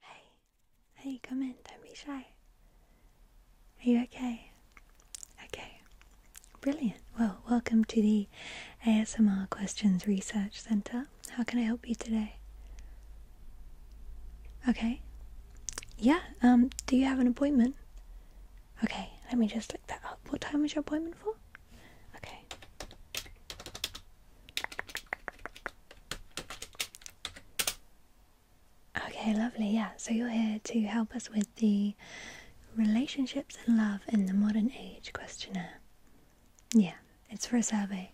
Hey, hey, come in, don't be shy. Are you okay? Okay, brilliant. Well, welcome to the ASMR Questions Research Center. How can I help you today? Okay, yeah, um, do you have an appointment? Okay, let me just look that up. What time is your appointment for? Okay. Okay, lovely. Yeah, so you're here to help us with the relationships and love in the modern age questionnaire. Yeah, it's for a survey.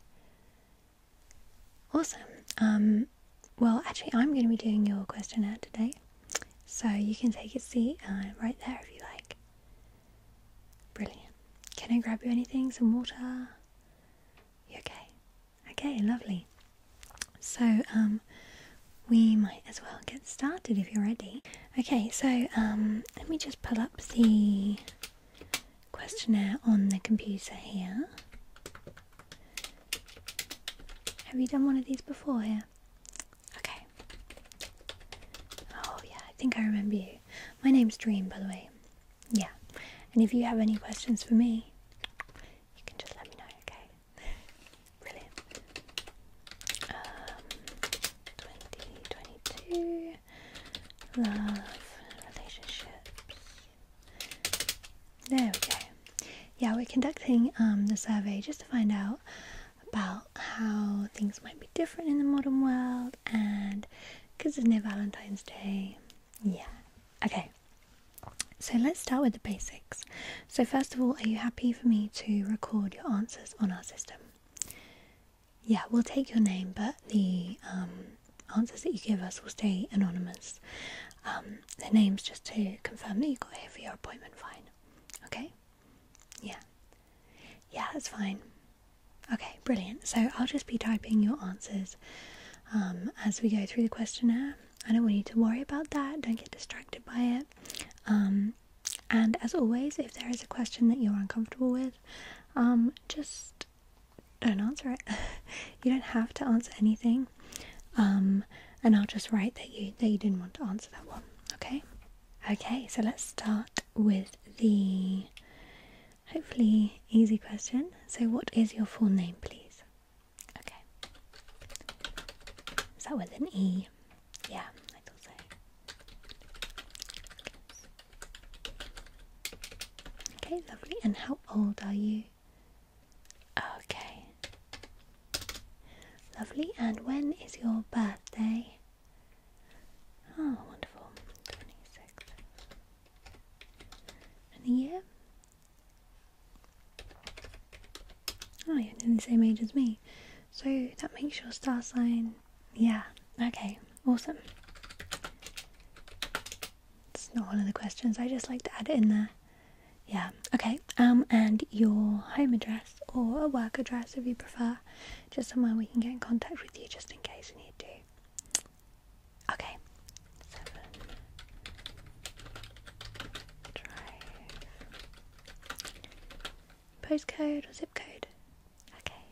Awesome. Um, well, actually, I'm going to be doing your questionnaire today, so you can take a seat uh, right there if you like. Brilliant. Can I grab you anything? Some water? okay? Okay, lovely. So, um, we might as well get started if you're ready. Okay, so um, let me just pull up the questionnaire on the computer here. Have you done one of these before here? Okay. Oh, yeah, I think I remember you. My name's Dream, by the way yeah, and if you have any questions for me, you can just let me know, okay? Brilliant. Um, 2022, love, relationships. There we go. Yeah, we're conducting um, the survey just to find out about how things might be different in the modern world, and because it's near Valentine's Day, yeah. Okay. So let's start with the basics. So first of all, are you happy for me to record your answers on our system? Yeah, we'll take your name, but the um, answers that you give us will stay anonymous. Um, the name's just to confirm that you got here for your appointment. Fine. Okay. Yeah. Yeah, that's fine. Okay, brilliant. So I'll just be typing your answers um, as we go through the questionnaire. I don't want you to worry about that, don't get distracted by it. Um, and as always, if there is a question that you're uncomfortable with, um, just don't answer it. you don't have to answer anything. and I'll just write that you that you didn't want to answer that one. Okay. Okay. So let's start with the Hopefully, easy question. So, what is your full name, please? Okay. Is that with an E? Yeah, I thought so. Okay, lovely. And how old are you? Okay. Lovely. And when is your birthday? Oh, wonderful. 26th and the year. Oh, you're nearly the same age as me. So that makes your star sign. Yeah, okay, awesome. It's not one of the questions, I just like to add it in there. Yeah, okay, um, and your home address or a work address if you prefer, just somewhere we can get in contact with you just in case we need to. Okay. Drive. Postcode or zip code? Okay.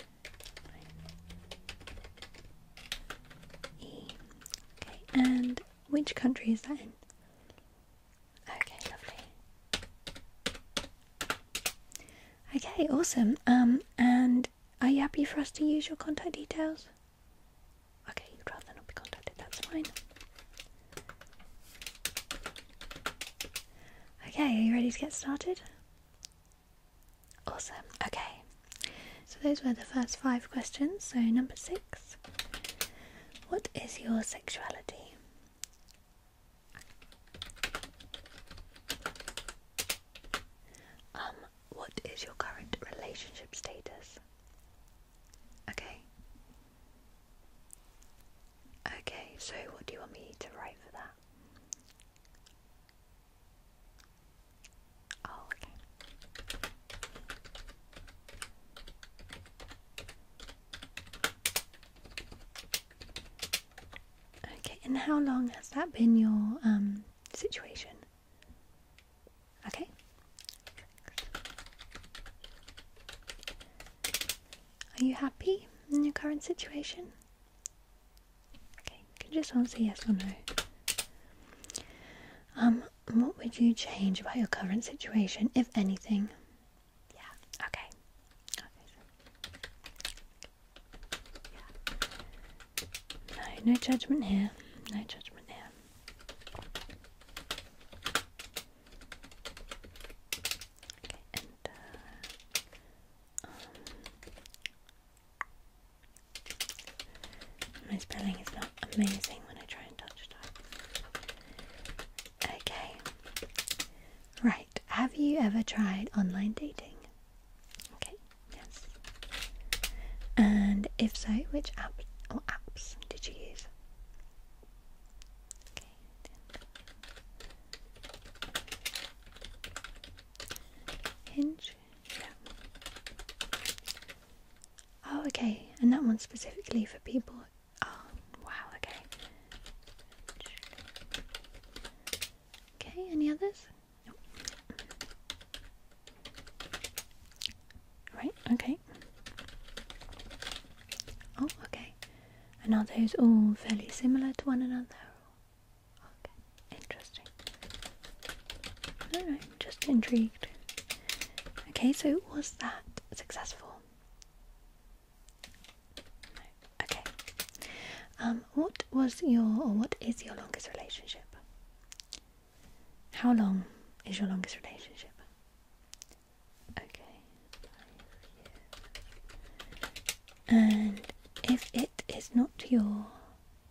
E. Okay, and which country is that in? Okay, lovely. Okay, awesome. Um, and are you happy for us to use your contact details? Okay, you'd rather not be contacted, that's fine. Okay, are you ready to get started? Awesome, okay. So those were the first five questions. So, number six What is your sexuality? Um, what is your current relationship status? Okay. Okay, so what do you want me to write for that? Oh, okay. Okay, and how long has that been your um situation? Okay. Are you happy in your current situation? Okay, you can just answer yes or no. Um, what would you change about your current situation, if anything? Yeah, okay. No, no judgment here. No judgment there. Uh, um, my spelling is not amazing when I try and touch type. Okay. Right. Have you ever tried online dating? Okay, yes. And if so, which app or apps did you use? Okay. Hinge. Oh, okay. And that one specifically for people. Oh, wow. Okay. Okay. Any others? Nope. Right, okay. Oh, okay. And are those all fairly similar to one another? Okay, interesting. I don't know, just intrigued. Okay, so was that successful? Okay. Um, what was your or what is your longest relationship? How long is your longest relationship? Okay. And if it is not your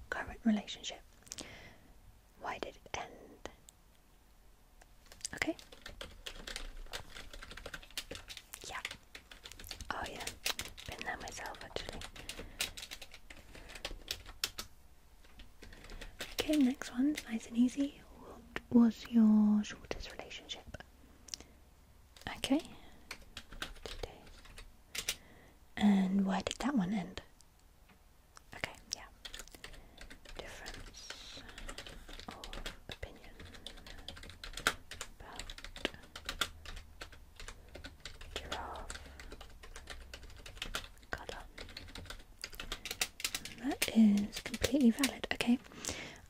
current relationship, why did it end? Okay. Yeah. Oh yeah. Been there myself actually. Okay, next one, nice and easy. What was your shortest relationship? Okay, And where did that one end? Okay, yeah. Difference of opinion about giraffe That is completely valid. Okay.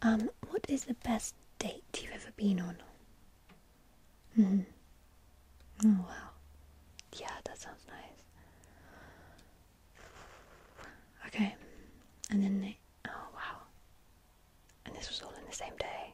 Um, what is the best date you've ever been on? Hmm. Oh wow. Yeah, that sounds nice. Okay. And then they. Oh wow. And this was all in the same day.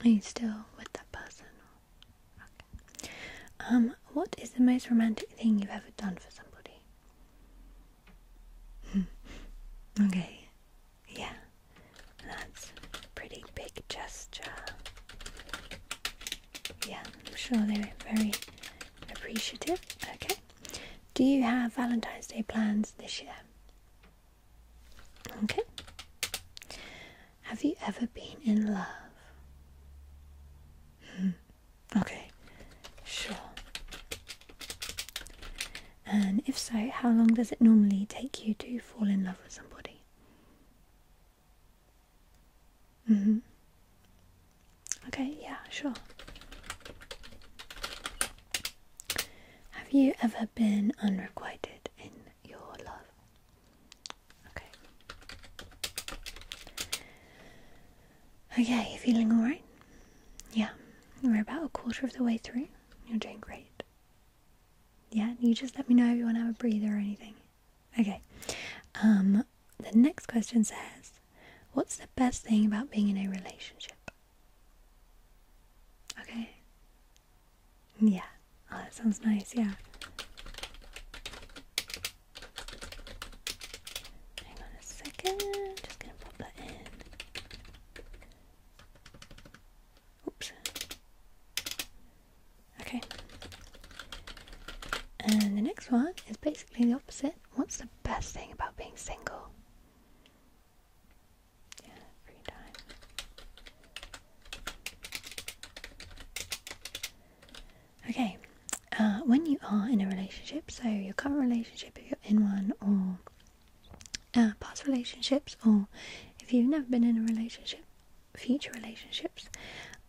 Are you still with that person? Okay. Um, what is the most romantic thing you've ever done for somebody? Hmm. okay. Yeah. That's a pretty big gesture. Yeah, I'm sure they are very appreciative. Okay. Do you have Valentine's Day plans this year? Okay. Have you ever been in love? Hmm. Okay, sure. And if so, how long does it normally take you to fall in love with somebody? hmm Okay, yeah, sure. Have you ever been unrequited in your love? Okay. Okay, you feeling alright? Yeah, we're about a quarter of the way through. You're doing great. Yeah, you just let me know if you want to have a breather or anything. Okay. Um, the next question says, What's the best thing about being in a relationship? Okay. Yeah. Oh, that sounds nice. Yeah. Hang on a second. Just gonna pop that in. Oops. Okay. And the next one is basically the opposite. What's the best thing about being single? Yeah, free time. Okay, uh, when you are in a relationship, so your current relationship, if you're in one, or uh, past relationships, or if you've never been in a relationship, future relationships,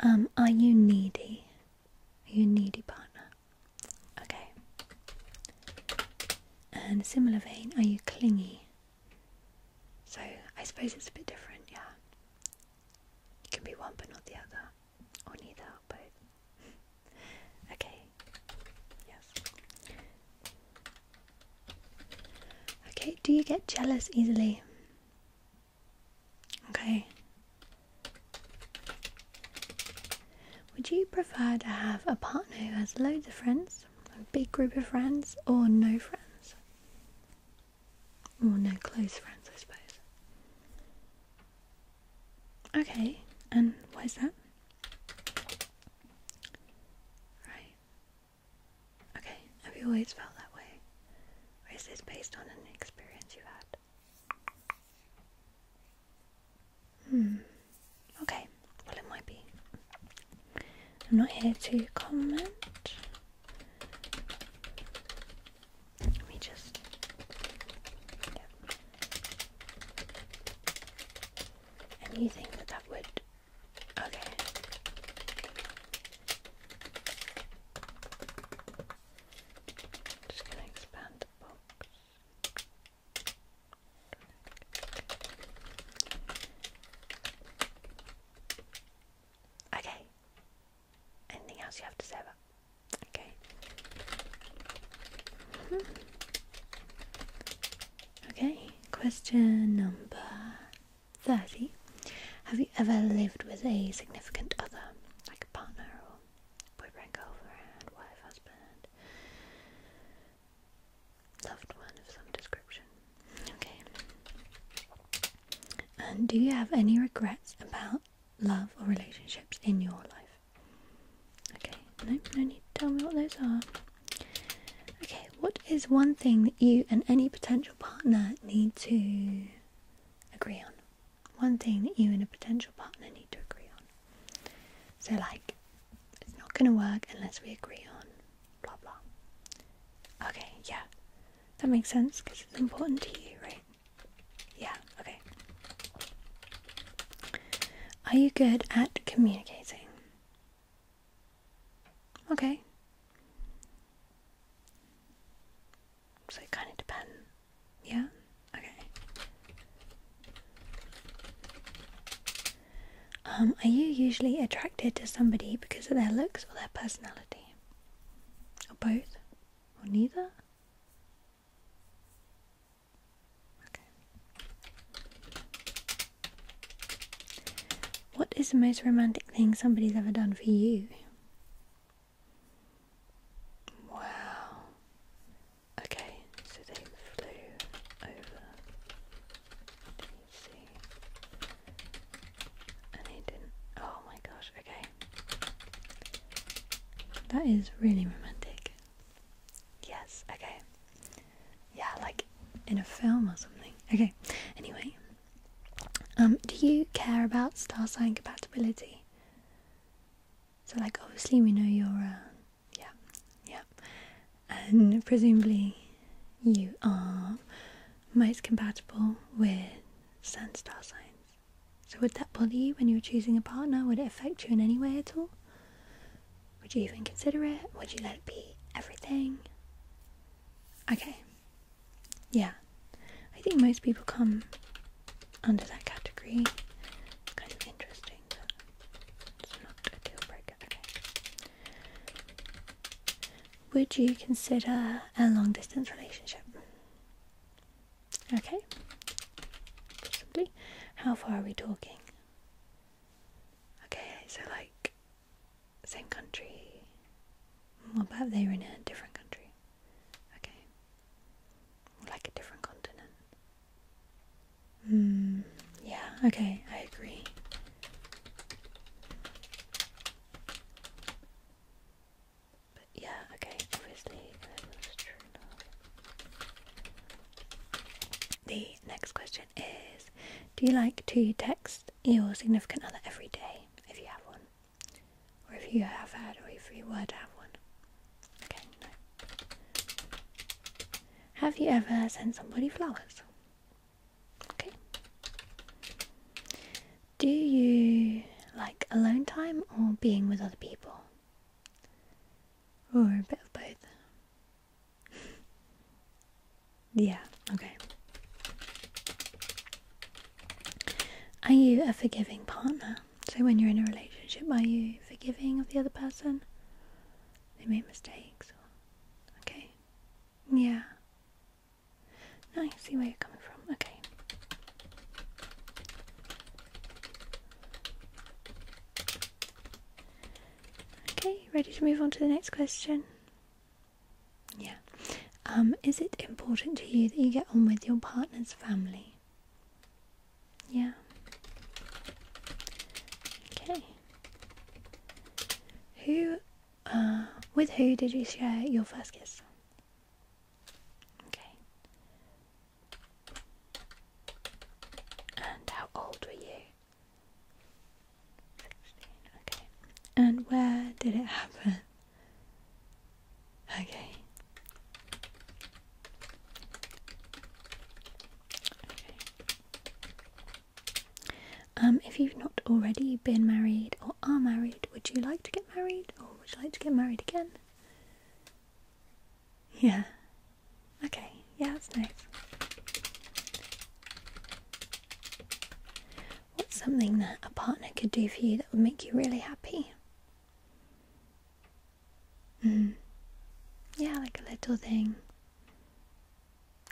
um, are you needy? Are you a needy partner? Okay. And similar vein, are you clingy? So I suppose it's a bit different, yeah. You can be one but not the other, or neither or okay. Yes. Okay, do you get jealous easily? Okay. Would you prefer to have a partner who has loads of friends, a big group of friends, or no friends? Or no close friends, I suppose. Okay, and why is that? Right. Okay, have you always felt that way? Or is this based on an experience you've had? Hmm. Okay. Well, it might be. I'm not here to comment. Let me just. Yeah. And you think that that would. Okay. Just gonna expand the box. Okay. Anything else you have to say about? Okay. Hmm. Okay. Question number thirty. Have you ever lived with a significant other, like a partner or boyfriend, girlfriend, wife, husband, Loved one of some description. Okay. do you have any regrets about love or relationships in your life? Okay, no, no need to tell me what those are. Okay, what is one thing that you and any potential partner need to agree on? One thing that you and a potential partner need to agree on. So, like, it's not gonna work unless we agree on blah blah. Okay, yeah. That makes sense because it's important to you, right? Yeah, okay. Are you good at communicating? Okay. So it kind of depends, yeah? Okay. Um, are you usually attracted to somebody because of their looks or their personality? Or both? Or neither? Okay. What is the most romantic thing somebody's ever done for you? Wow. Okay, so they flew over DC and he didn't. Oh my gosh, okay. That is really romantic. Yes, okay. Yeah, like in a film or something. Okay, anyway. Um, do you care about star sign compatibility? So, like, obviously, we know your uh, yeah, yeah. And presumably, you are most compatible with Sun star signs. So, would that bother you when you are choosing a partner? Would it affect you in any way at all? Would you even consider it? Would you let it be everything? Okay, yeah. I think most people come under that category. kind of interesting. Would you consider a long distance relationship? Okay. Possibly. How far are we talking? Okay, so like same country. What about they were in a different country? Okay like a different continent. Mm, yeah, okay, I agree. yeah, okay, obviously uh, that was true love. The next question is Do you like to text your significant other every day if you have one? Or if you have had, or if you were to have one? Okay, Have you ever sent somebody flowers? Okay. Do you like alone time or being with other people? Or a bit of both? yeah, okay. Are you a forgiving partner? So when you're in a relationship, are you forgiving of the other person? They make mistakes. Okay. Yeah. No, I see where you're coming from. Okay. Okay, ready to move on to the next question? Yeah. Um, is it important to you that you get on with your partner's family? Yeah. Okay. Who, uh, with who did you share your first kiss? Okay. And how old were you? 16, okay. And where did it happen? Okay. Um, if you've not already been married or are married, would you like to get married or would you like to get married again? Yeah. Okay, yeah, that's nice. What's something that a partner could do for you that would make you really happy? Mm. Yeah, like a little thing.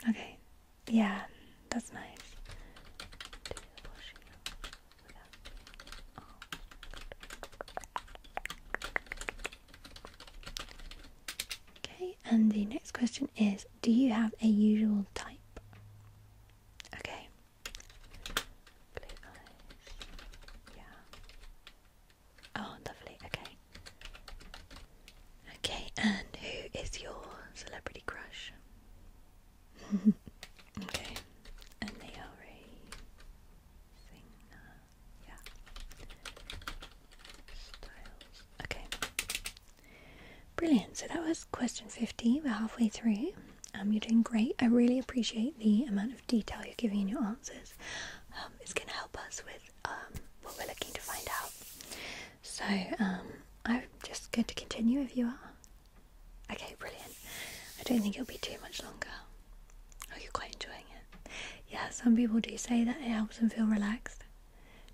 Okay. Yeah, that's nice. Okay, and the next question is Do you have a usual type? Okay. Oh, lovely. Okay. Okay, and who is your celebrity crush? okay, and they are a singer. Yeah. Styles. Okay. Brilliant. So that was question 50. We're halfway through. Um, you're doing great. I really appreciate the amount of detail you're giving in your answers um, is going to help us with um, what we're looking to find out. So um, I'm just going to continue if you are. Okay, brilliant. I don't think it'll be too much longer. Oh, you're quite enjoying it. Yeah, some people do say that it helps them feel relaxed,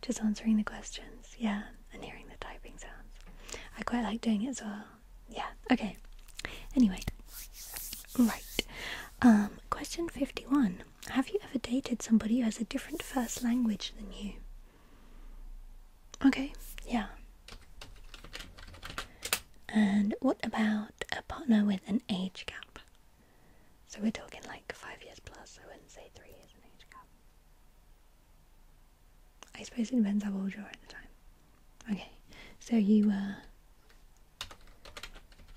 just answering the questions. Yeah, and hearing the typing sounds. I quite like doing it as well. Yeah, okay. Anyway, right. Um, question 51 Have you ever dated somebody who has a different first language than you? Okay, yeah. And what about a partner with an age gap? So we're talking like five years plus, I wouldn't say three years an age gap. I suppose it depends how old you are at the time. Okay, so you were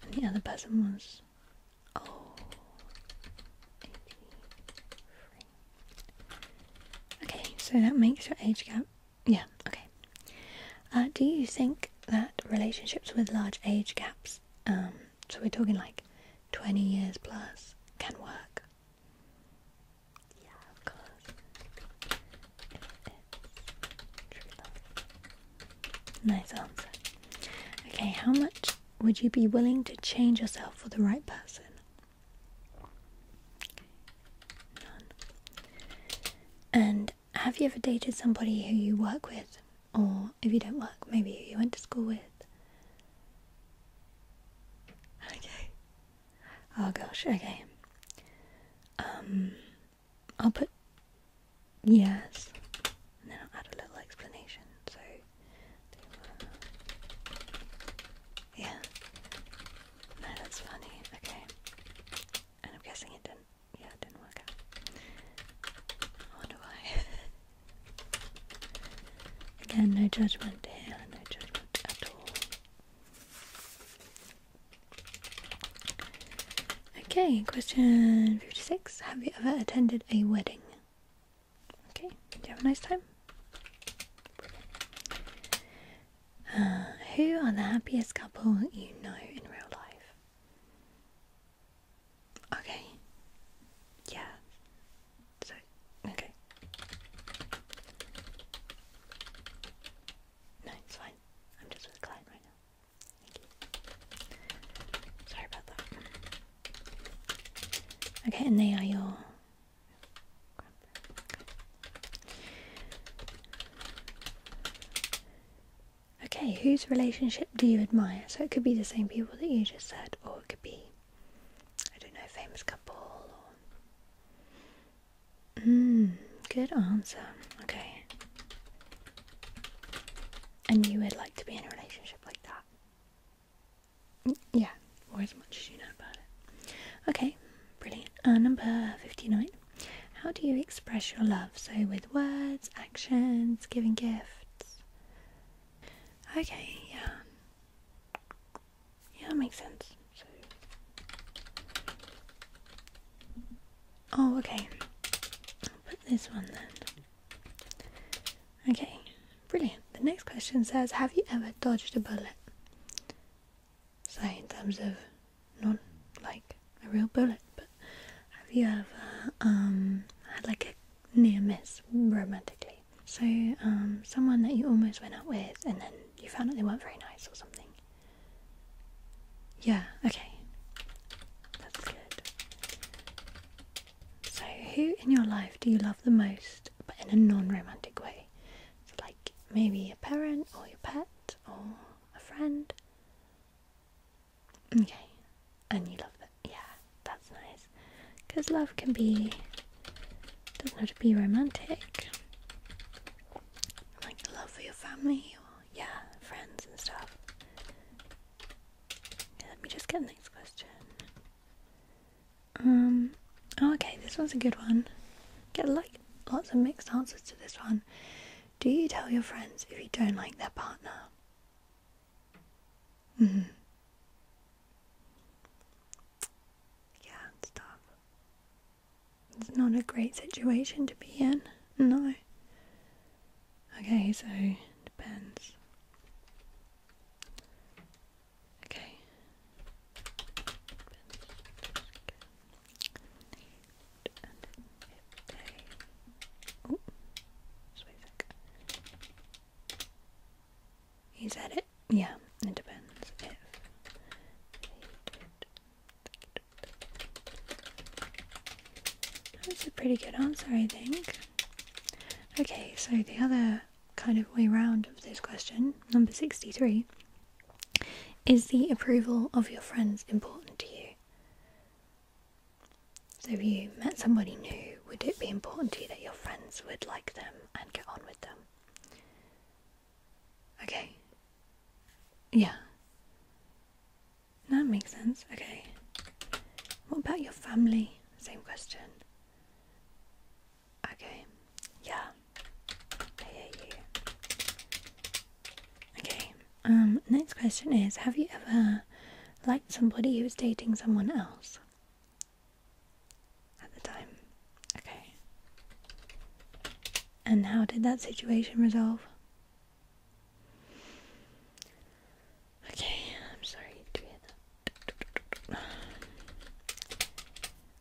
and the other person was oh Okay, so that makes your age gap yeah, okay. Uh, do you think that relationships with large age gaps, um, so we're talking like 20 years plus, can work? Yeah, of course. Nice answer. Okay, how much would you be willing to change yourself for the right person? None. And have you ever dated somebody who you work with? Or if you don't work, maybe you went to school with? Okay. Oh gosh, okay. Um I'll put yes, and then I'll add a little explanation. So, yeah, that's funny. Okay, and I'm guessing it didn't. Yeah, it didn't work out. wonder why. Again, no judgment here, no judgment at all. Okay, question 56. Have you ever attended a wedding? Okay, do you have a nice time? Uh, who are the happiest couple you know in real life? Okay. Yeah. So, okay. No, it's fine. I'm just with a client right now. Sorry about that. Okay, and they are your. Okay, whose relationship do you admire? So it could be the same people that you just said, or it could be, I don't know, famous couple. Hmm. good answer. Okay. And you would like to be in a relationship like that? Yeah, or as much as you know about it. Okay, brilliant. Uh, number 59. How do you express your love? So, with words, actions, giving gifts. Okay, yeah. Yeah, that makes sense. Oh, okay. put this one then. Okay, brilliant. The next question says Have you ever dodged a bullet? So, in terms of not like a real bullet, but have you ever um, had like a near miss romantically? So, um, someone that you almost went out with and then you found out they weren't very nice or something. Yeah, okay. That's good. So, who in your life do you love the most, but in a non romantic way? like maybe a parent, or your pet, or a friend? Okay, and you love that. Yeah, that's nice. Because love can be, doesn't have to be romantic. Like love for your family yeah, friends and stuff. let me just get the next question. Um, oh, okay, this one's a good one. Get like lots of mixed answers to this one. Do you tell your friends if you don't like their partner? Mm hmm. Yeah, it's it's not a great situation to be in. No. Okay, so depends. Okay. Oh, Is that it? Yeah, it depends if that's a pretty good answer, I think. Okay, so the other kind of way round of this question, number 63, is the approval of your friends important to you? So if you met somebody new, would it be important to you that your friends would like them and get on with them? Okay. Yeah that makes sense. Okay. What about your family? Same question. Okay. Yeah. I hear you. Okay. Um, next question is Have you ever liked somebody who was dating someone else? At the time. Okay. And how did that situation resolve? Okay, I'm sorry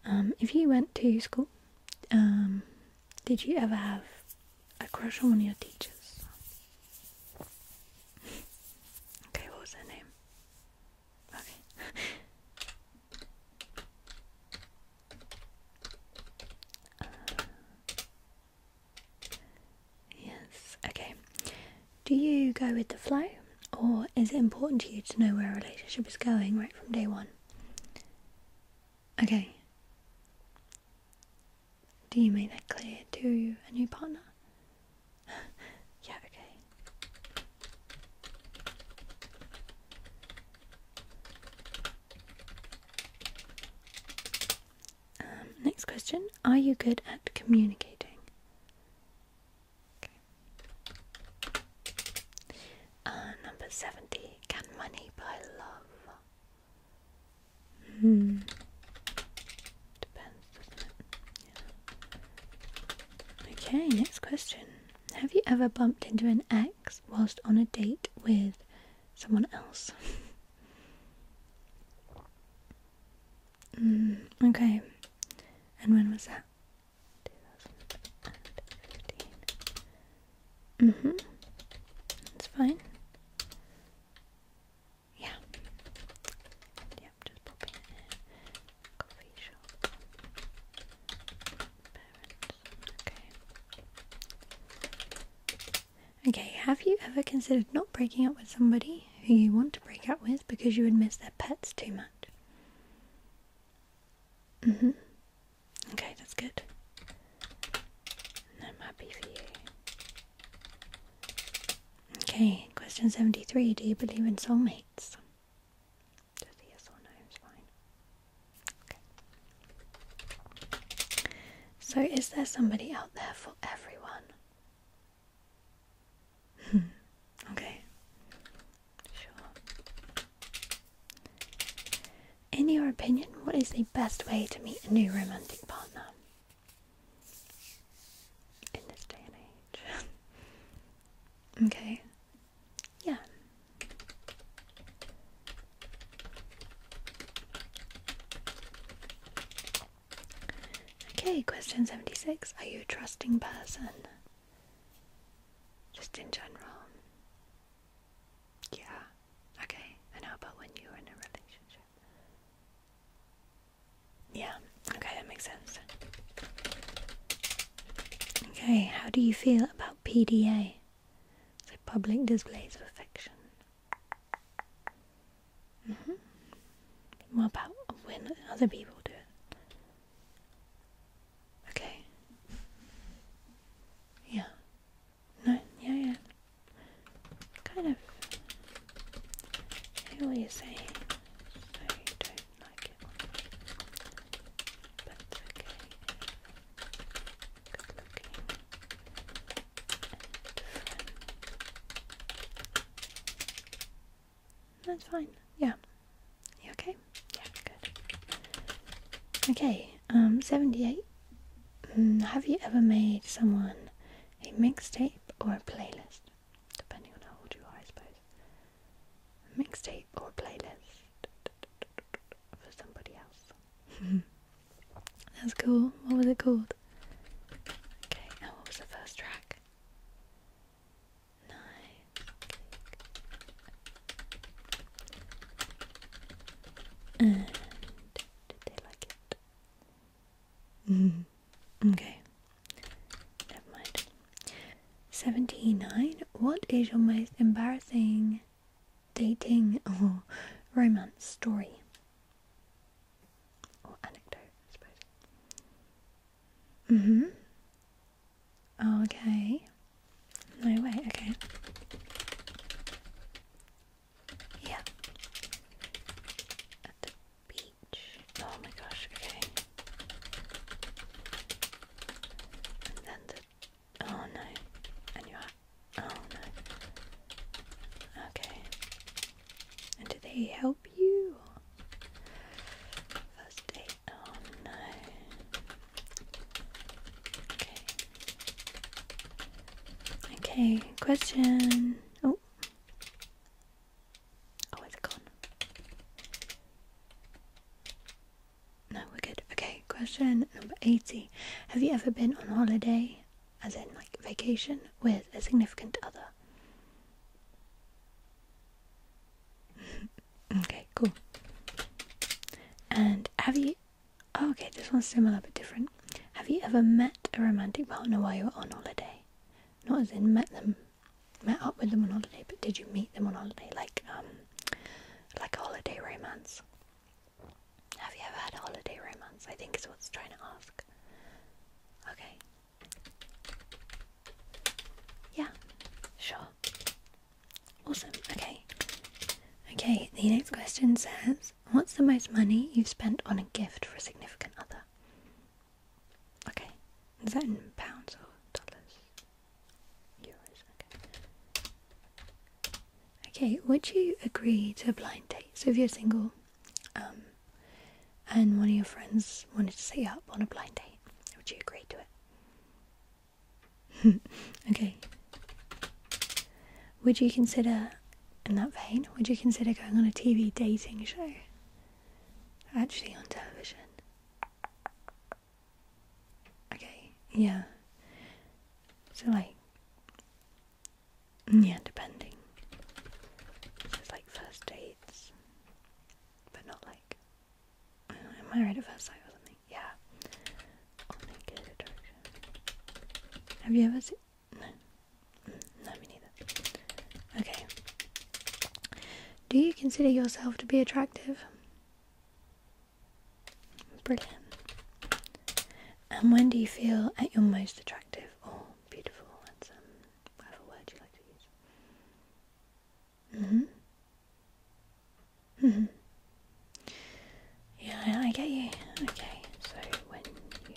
Um, if you went to school, um, did you ever have a crush on one of your teachers? okay, what was her name? Okay yes, okay. Do you go with the flow, or is it important to you to know where a relationship is going right from day one? Okay. Do you make that clear to a new partner? yeah, okay. Um, next question Are you good at communicating? Uh, number 70 Can money buy love? Hmm. Depends, Okay, next question. Have you ever bumped into an ex whilst on a date with someone else. Mm, okay, and when was that? 2015. Mm-hmm. That's fine. Yeah. Yep, just popping in. Coffee shop. Parent. Okay. Okay, have you ever considered not breaking up with somebody who you want to break up with because you would miss their pets too much? Mm hmm. Okay, that's good. I'm happy for you. Okay, question 73 Do you believe in soulmates? So, is there somebody out there for everyone? Hmm. okay. Sure. In your opinion, what is the best way to meet a new romantic partner? In this day and age. okay. Yeah, Okay, question 76. Are you a trusting person? Just in general. Yeah. Okay. And how about when you're in a relationship? Yeah. Okay, that makes sense. Okay, how do you feel about PDA? So public displays of affection. What mm-hmm. about when other people do it? Okay. Yeah. No, yeah, yeah. Kind of. I hear you saying. I don't like it. But okay. That's fine. Yeah. You okay? Yeah, good. Okay, um, 78. Mm, have you ever made someone a mixtape or a playlist? Depending on how old you are, I suppose. mixtape or playlist for somebody else. That's cool. What was it called? Okay, now what was the first track? Nine. did they like it? Mm. Okay. Never mind. Seventy-nine. What is your most embarrassing dating or romance story or anecdote, I suppose. Mhm. Mm okay. No way. Okay. Yeah. At the beach. Oh my gosh. Okay. And Oh no. And you Oh no. Okay. And do they help you? First aid. Oh no. Okay. Okay, question. Oh. Oh, it's gone. No, we're good. Okay, question number 80. Have you ever been on holiday, as in like vacation, with a significant other? okay, cool. And have you. Oh, okay, this one's similar but different. Have you ever met a romantic partner while you were on holiday? Not as in met them, met up with them on holiday, but did you meet them on holiday? Like, um, like a holiday romance. Have you ever had a holiday romance? I think is what's trying to ask. Okay. Yeah, sure. Awesome. Okay. Okay, the next question says, What's the most money you've spent on a gift for a significant other? Okay. Is that in pounds or dollars? Euros, okay. Okay, would you agree to a blind date? So if you're single, um, and one of your friends wanted to set you up on a blind date, would you agree to it? okay. Would you consider, in that vein, would you consider going on a TV dating show? Actually, on television. Okay, yeah. So like, mm, yeah, depending. it's like first dates, but not like, uh, am I right at first sight or something? Yeah. Oh, Have you ever seen? No. Mm, no, me neither. Okay. Do you consider yourself to be attractive? Brilliant. And when do you feel at your most attractive or beautiful? Handsome, um, whatever word you like to use. Mhm. Mhm. Yeah, I get you. Okay, so when you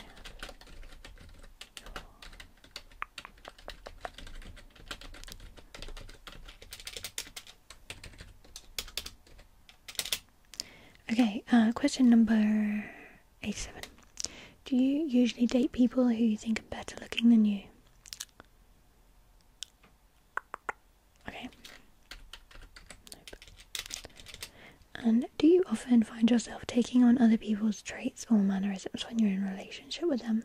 Okay, uh, question number 87. Do you usually date people who you think are better looking than you? Okay. And do you often find yourself taking on other people's traits or mannerisms when you're in a relationship with them?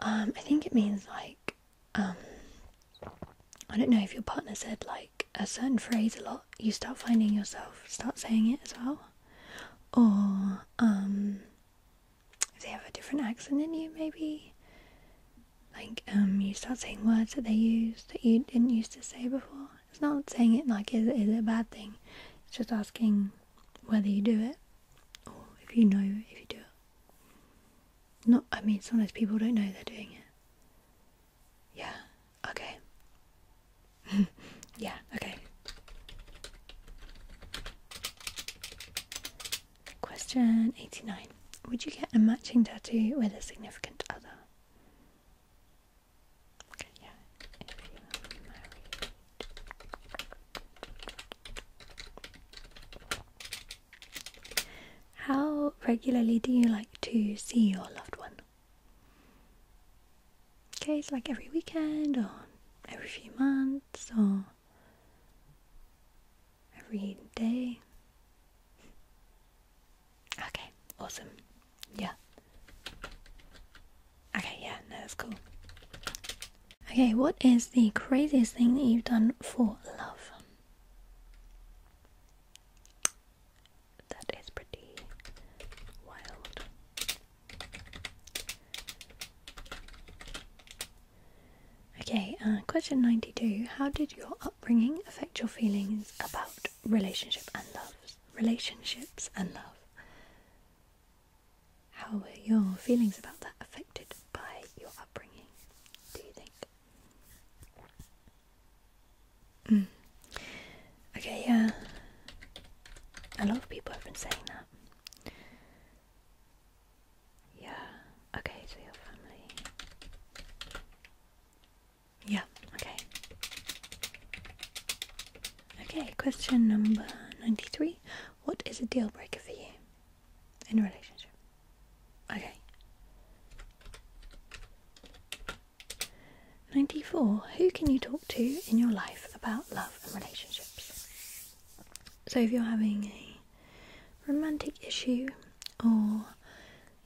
Um, I think it means like um, I don't know if your partner said like a certain phrase a lot, you start finding yourself start saying it as well. Or um, if they have a different accent than you, maybe like um, you start saying words that they use that you didn't used to say before. It's not saying it like is, is it a bad thing. It's just asking whether you do it or if you know if you do not, I mean, sometimes people don't know they're doing it. Yeah, okay. yeah, okay. Question 89 Would you get a matching tattoo with a significant other? How regularly do you like to see your loved one? Okay, it's like every weekend or every few months or every day. Okay, awesome. Yeah. Okay, yeah, no, that's cool. Okay, what is the craziest thing that you've done for love? That is pretty wild. Okay, uh, question 92. How did your upbringing affect your feelings about relationship and love? Relationships and love. How were your feelings about that affected by your upbringing, do you think? Mm. Okay, yeah. A lot of people have been saying that. Yeah, okay, so your family. Yeah, okay. Okay, question number 93. What is a deal breaker for you in a relationship? Okay. 94. Who can you talk to in your life about love and relationships? So, if you're having a romantic issue or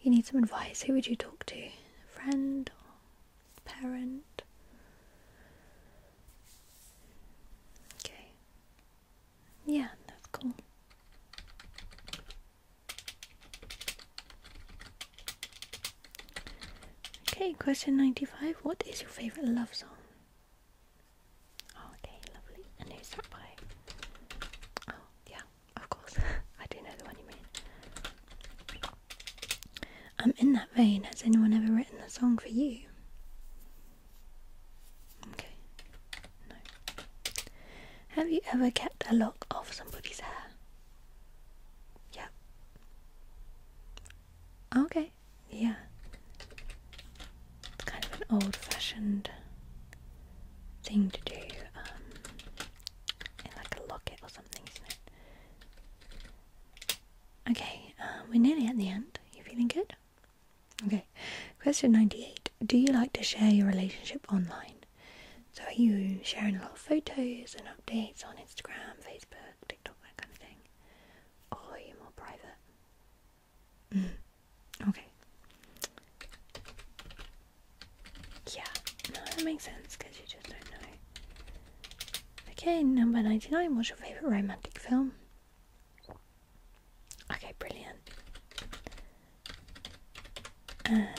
you need some advice, who would you talk to? friend or parent? Okay. Yeah, that's cool. Okay, question 95. What is your favorite love song? Oh, okay, lovely. And who's that Oh, yeah, of course. I do know the one you mean. Um, in that vein, has anyone ever written a song for you? Okay. No. Have you ever kept a lock of somebody's hair? Yeah. Okay. Yeah. kind of an old-fashioned thing to do. Um, in like a locket or something, Okay. Uh, we're nearly at the end. You feeling good? Okay, question 98 Do you like to share your relationship online? So, are you sharing a lot of photos and updates on Instagram, Facebook, TikTok, that kind of thing? Or are you more private? Mm. Okay. Yeah, no, that makes sense because you just don't know. Okay, number 99 What's your favourite romantic film? Okay, brilliant. And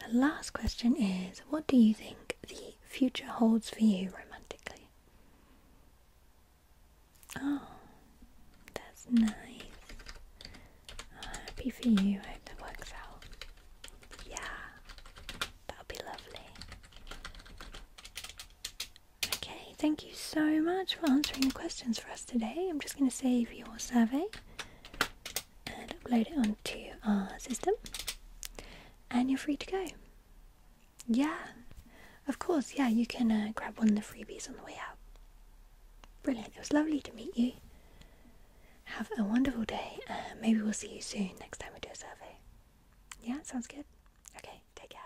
the last question is What do you think the future holds for you romantically? Oh, that's nice. happy for you. I hope that works out. Yeah, that'll be lovely. Okay, thank you so much for answering the questions for us today. I'm just going to save your survey and upload it onto our system, and you're free to go. Yeah, of course, yeah, you can uh, grab one of the freebies on the way out. Brilliant, it was lovely to meet you. Have a wonderful day. Uh, maybe we'll see you soon next time we do a survey. Yeah, sounds good. Okay, take care.